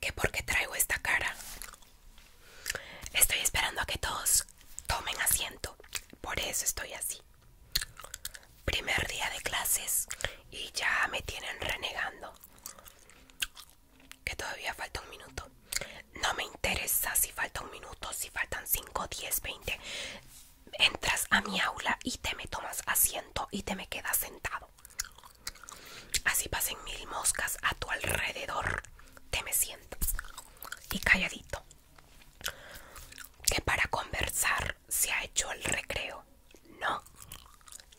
¿Qué por qué traigo esta cara? Estoy esperando a que todos tomen asiento. Por eso estoy así. Primer día de clases y ya me tienen renegando. Que todavía falta un minuto no me interesa si falta un minuto, si faltan 5, 10, 20. Entras a mi aula y te me tomas asiento y te me quedas sentado. Así pasen mil moscas a tu alrededor. Te me sientas y calladito. Que para conversar se ha hecho el recreo. No.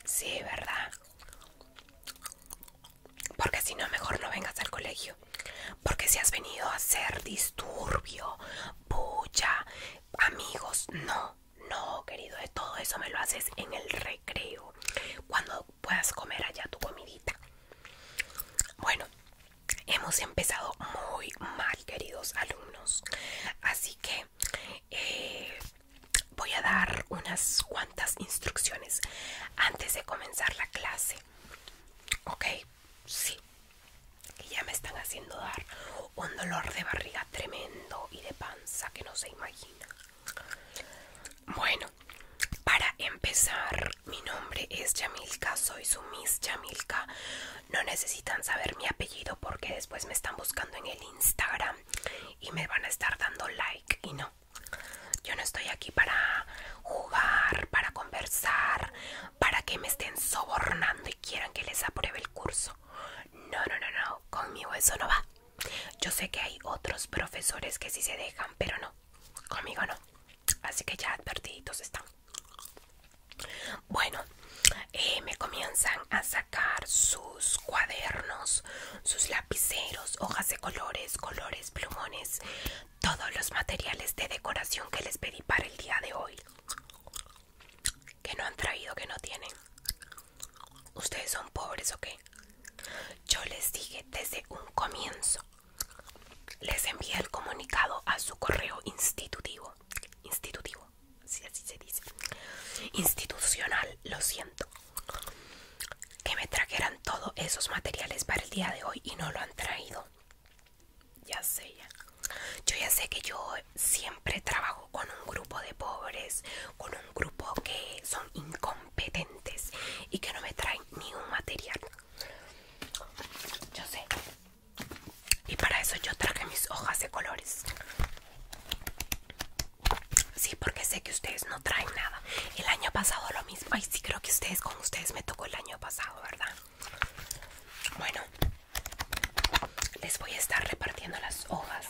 Sí, ¿verdad? Porque si no, mejor no vengas al colegio. Porque si has venido a hacer disturbio, bulla, amigos, no, no, querido, de todo eso me lo haces en el recreo, cuando puedas comer allá tu comidita. Bueno, hemos empezado muy mal, queridos alumnos, así que eh, voy a dar unas cuantas instrucciones antes de comenzar la clase. Ok, sí, que ya me están haciendo dar un dolor de barriga tremendo y de panza que no se imagina. Bueno, para empezar, mi nombre es Yamilka, soy su Miss Yamilka. No necesitan saber mi apellido porque después me están buscando en el Instagram y me van a estar dando like y no. Yo no estoy aquí para jugar, para conversar, para que me estén sobornando y quieran que les apruebe el curso. No, no, no, no, conmigo eso no va. Yo sé que hay otros profesores que sí se dejan, pero no, conmigo no. Así que ya advertiditos están. Bueno, eh, me comienzan a sacar sus cuadernos, sus lapiceros, hojas de colores, colores, plumones, todos los materiales de decoración que les pedí para el día de hoy que no han traído que no tienen ustedes son pobres o qué yo les dije desde un comienzo les envié el comunicado a su correo institutivo institutivo si así se dice institucional lo siento que me trajeran todos esos materiales para el día de hoy y no lo han traído ya sé, ya. Yo ya sé que yo siempre trabajo con un grupo de pobres, con un grupo que son incompetentes y que no me traen ni un material. Yo sé. Y para eso yo traje mis hojas de colores. Sí, porque sé que ustedes no traen nada. El año pasado lo mismo. Ay, sí, creo que ustedes con ustedes me tocó el año pasado, ¿verdad? Bueno, les voy a estar repartiendo las hojas.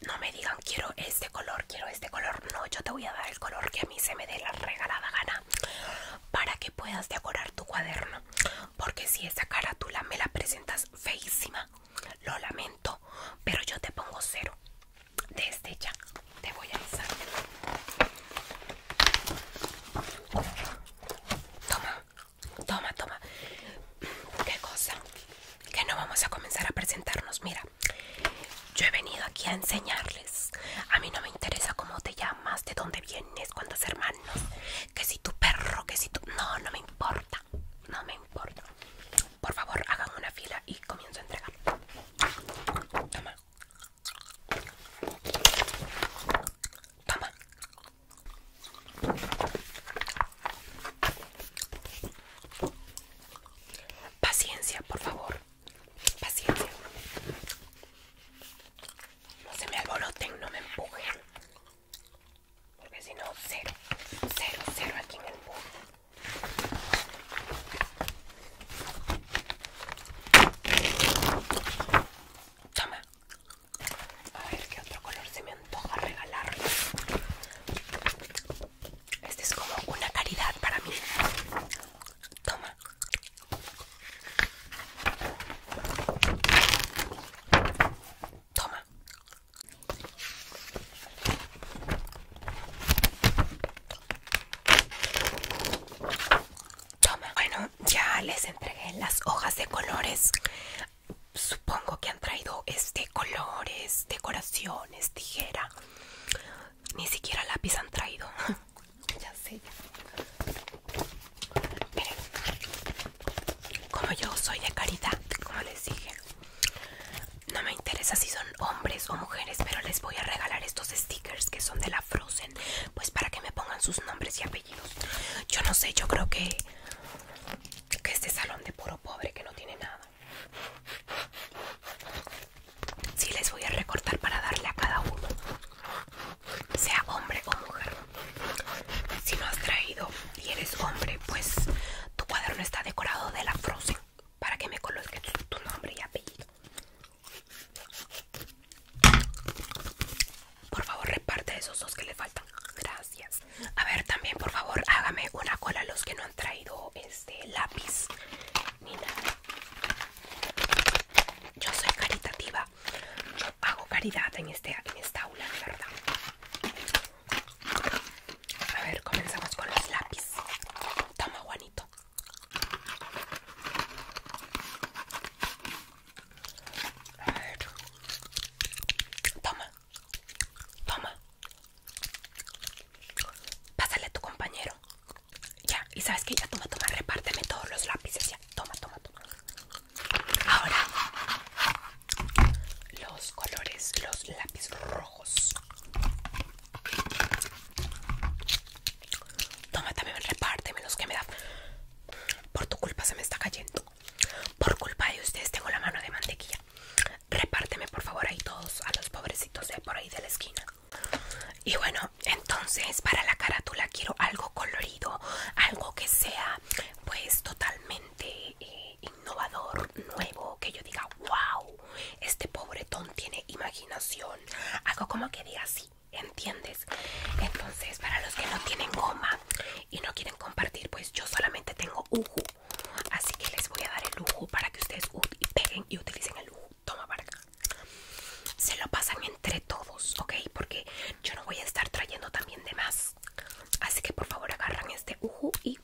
No me digan quiero este color, quiero este color. No, yo te voy a dar el color que a mí se me dé la regalada gana para que puedas decorar tu cuaderno. Porque si esa carátula me la presentas feísima, lo lamento, pero yo te pongo cero desde ya te voy a avisar. Toma, toma, toma. Qué cosa, que no vamos a comenzar a presentarnos. Mira, yo he venido aquí a enseñarles. A mí no me interesa cómo te llamas, de dónde vienes, cuántos hermanos, que si tu perro, que si tu... No, no me importa, no me importa. Por favor, hagan una fila y comienzo a entregar. Toma. Toma. Paciencia, por favor. Paciencia. No se me alboroten, no me empujen. Porque si no, cero. Cero, cero aquí en el mundo. Toma. A ver qué otro color se me antoja regalar. Este es como una caridad para mí. Toma. Toma. Toma. Bueno, ya les entregué las hojas de colores. Supongo que han traído este colores, decoraciones, tijera. Ni siquiera lápiz han traído. ya sé. Miren, como yo soy de caridad, como les dije, no me interesa si son hombres o mujeres, pero les voy a regalar estos stickers que son de la Frozen pues para que me pongan sus nombres y apellidos yo no sé yo creo que que este salón de puro pobre que no tiene nada si les voy a recortar para darle a cada uno sea hombre o mujer si no has traído y eres hombre pues tu cuaderno está decorado de la Frozen para que me coloques tu nombre y apellido por favor, reparte esos dos que le faltan. Gracias. A ver, también, por favor, hágame una cola los que no han traído este lápiz ni Yo soy caritativa. Yo hago caridad en, este, en esta aula, verdad. A ver, comenzamos con los lápices. Toma, Juanito. A Toma. Toma. Pásale a tu compañero. Ya, y sabes que ya toma, toma, repárteme todos los lápices. Ya, toma, toma, toma. Ahora, los colores, los lápices rojos. Toma, también repárteme los que me da Por tu culpa se me está cayendo. Por culpa de ustedes tengo la mano de mantequilla. Repárteme por favor ahí todos a los pobrecitos de por ahí de la esquina. Y bueno, entonces para la carátula quiero algo colorido, algo que sea pues totalmente eh, innovador, nuevo, que yo diga, wow, este pobretón tiene imaginación. Algo como que diga así, ¿Entiendes? Entonces, para los que no tienen goma y no quieren compartir, pues yo solamente tengo uju. Así que les voy a dar el uju para que ustedes peguen y utilicen el uju. Toma para acá. Se lo pasan entre todos, ¿ok? Porque yo no voy a estar trayendo también de más. Así que por favor agarran este uju y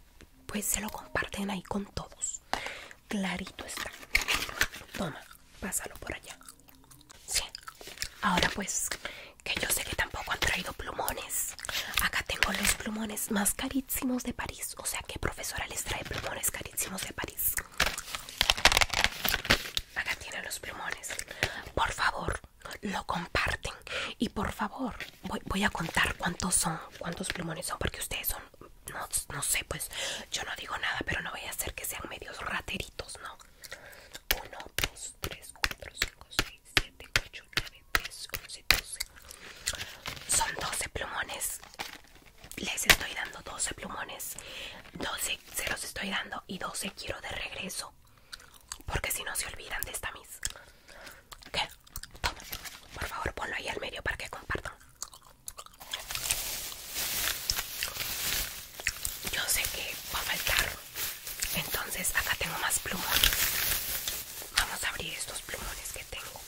pues se lo comparten ahí con todos. Clarito está. Toma, pásalo por allá. Ahora pues, que yo sé que tampoco han traído plumones. Acá tengo los plumones más carísimos de París. O sea, que profesora les trae plumones carísimos de París. Acá tienen los plumones. Por favor, lo comparten. Y por favor, voy, a contar cuántos son, cuántos plumones son, porque ustedes son, no, sé, pues yo no digo nada, pero no voy a hacer que sean medios rateros ¿no? 1, 2, 3, 4, 5, 6, 7, 8, 9, 10, 11, 12. Son 12 plumones. Les estoy dando 12 plumones. 12 se los estoy dando y 12 quiero de regreso. Porque si no se olvidan de esta mis. ¿Qué? Toma. Por favor, ponlo ahí al medio para que compartan. Yo sé que va a faltar. Entonces acá tengo más plumones. Vamos a abrir estos plumones que tengo.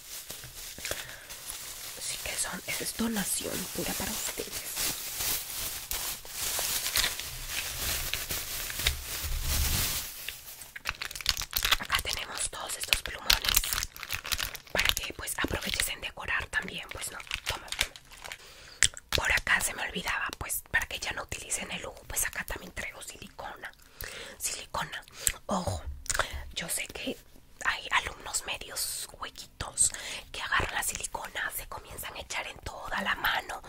Así que son, esa es donación pura para ustedes. Acá tenemos todos estos plumones para que pues aprovechen de decorar también, pues no, por acá se me olvidaba, pues para que ya no utilicen el lujo, pues acá también traigo silicona. Silicona. Ojo, yo sé que hay alumnos medios huequitos que agarran la silicona, se comienzan a echar en toda la mano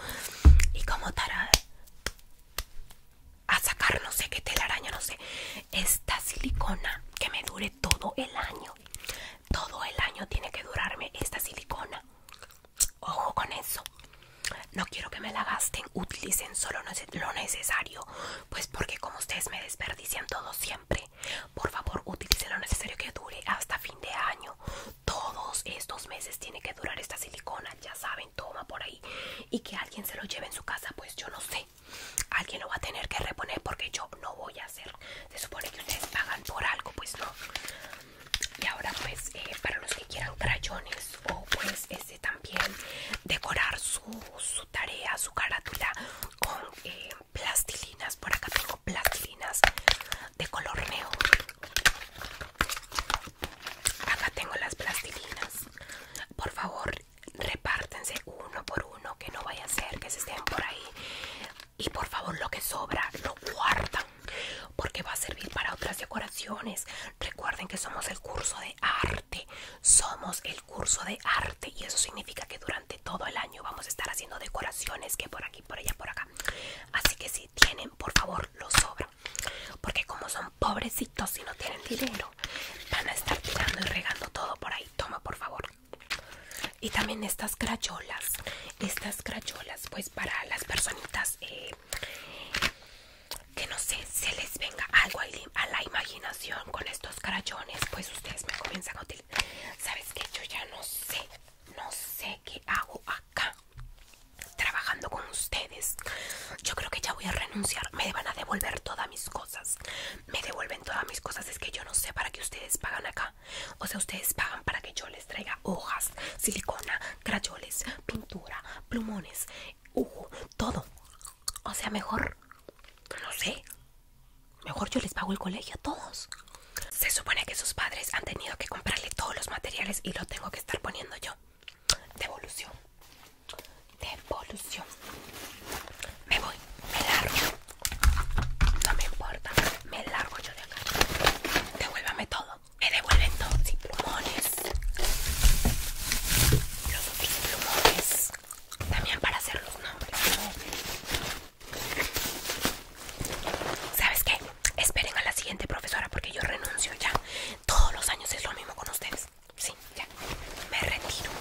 y como tarada a sacar no sé qué telaraña, no sé. Esta silicona que me dure todo el año todo el año tiene que durarme esta silicona. Ojo con eso. No quiero que me la gasten, utilicen solo lo necesario, pues porque como ustedes me desperdician todo siempre, por favor utilicen lo necesario que dure hasta fin de año. Todos estos meses tiene que durar esta silicona, ya saben, toma por ahí. Y que alguien se lo lleve en su casa, pues yo no sé. Alguien lo va a tener que reponer porque yo no voy a se supone que ustedes pagan por algo, pues no. Y ahora pues eh, para los que quieran crayones o pues este también decorar su, tarea, su carátula con eh, plastilinas. Por acá tengo plastilinas de color neón. Acá tengo las plastilinas. Por favor, repártense uno por uno, que no vaya a ser que se estén por ahí y por favor lo que sobra lo guardan porque va a servir para otras decoraciones. Recuerden que somos el curso de arte, somos el curso de arte y eso significa que durante todo el año vamos a estar haciendo decoraciones que por aquí, por allá, por acá. Así que si tienen, por favor, lo sobran. Porque como son pobrecitos y no tienen dinero, van a estar tirando y regando todo por ahí. Toma, por favor y también estas crayolas estas crayolas pues para las personitas eh, que no sé se les venga algo a la imaginación con estos crayones pues ustedes me comienzan a utilizar sabes que yo ya no sé no sé qué hago acá trabajando con ustedes yo creo que ya voy a renunciar me van a devolver todas mis cosas me devuelven todas mis cosas es que yo no sé para qué ustedes pagan acá o sea, ustedes pagan para que yo les traiga hojas, silicona, crayoles, pintura, plumones, ujo, todo. O sea, mejor, no sé, mejor yo les pago el colegio a todos. Se supone que sus padres han tenido que comprarle todos los materiales y lo tengo que estar poniendo yo. Devolución. Devolución. Me voy, me largo. No me importa, me largo yo de acá. Devuélvame todo. Me devuelven todo. Sin plumones. Los plumones. También para hacer los nombres. ¿Sabes qué? Esperen a la siguiente profesora porque yo renuncio ya. Todos los años es lo mismo con ustedes. Sí, ya. Me retiro.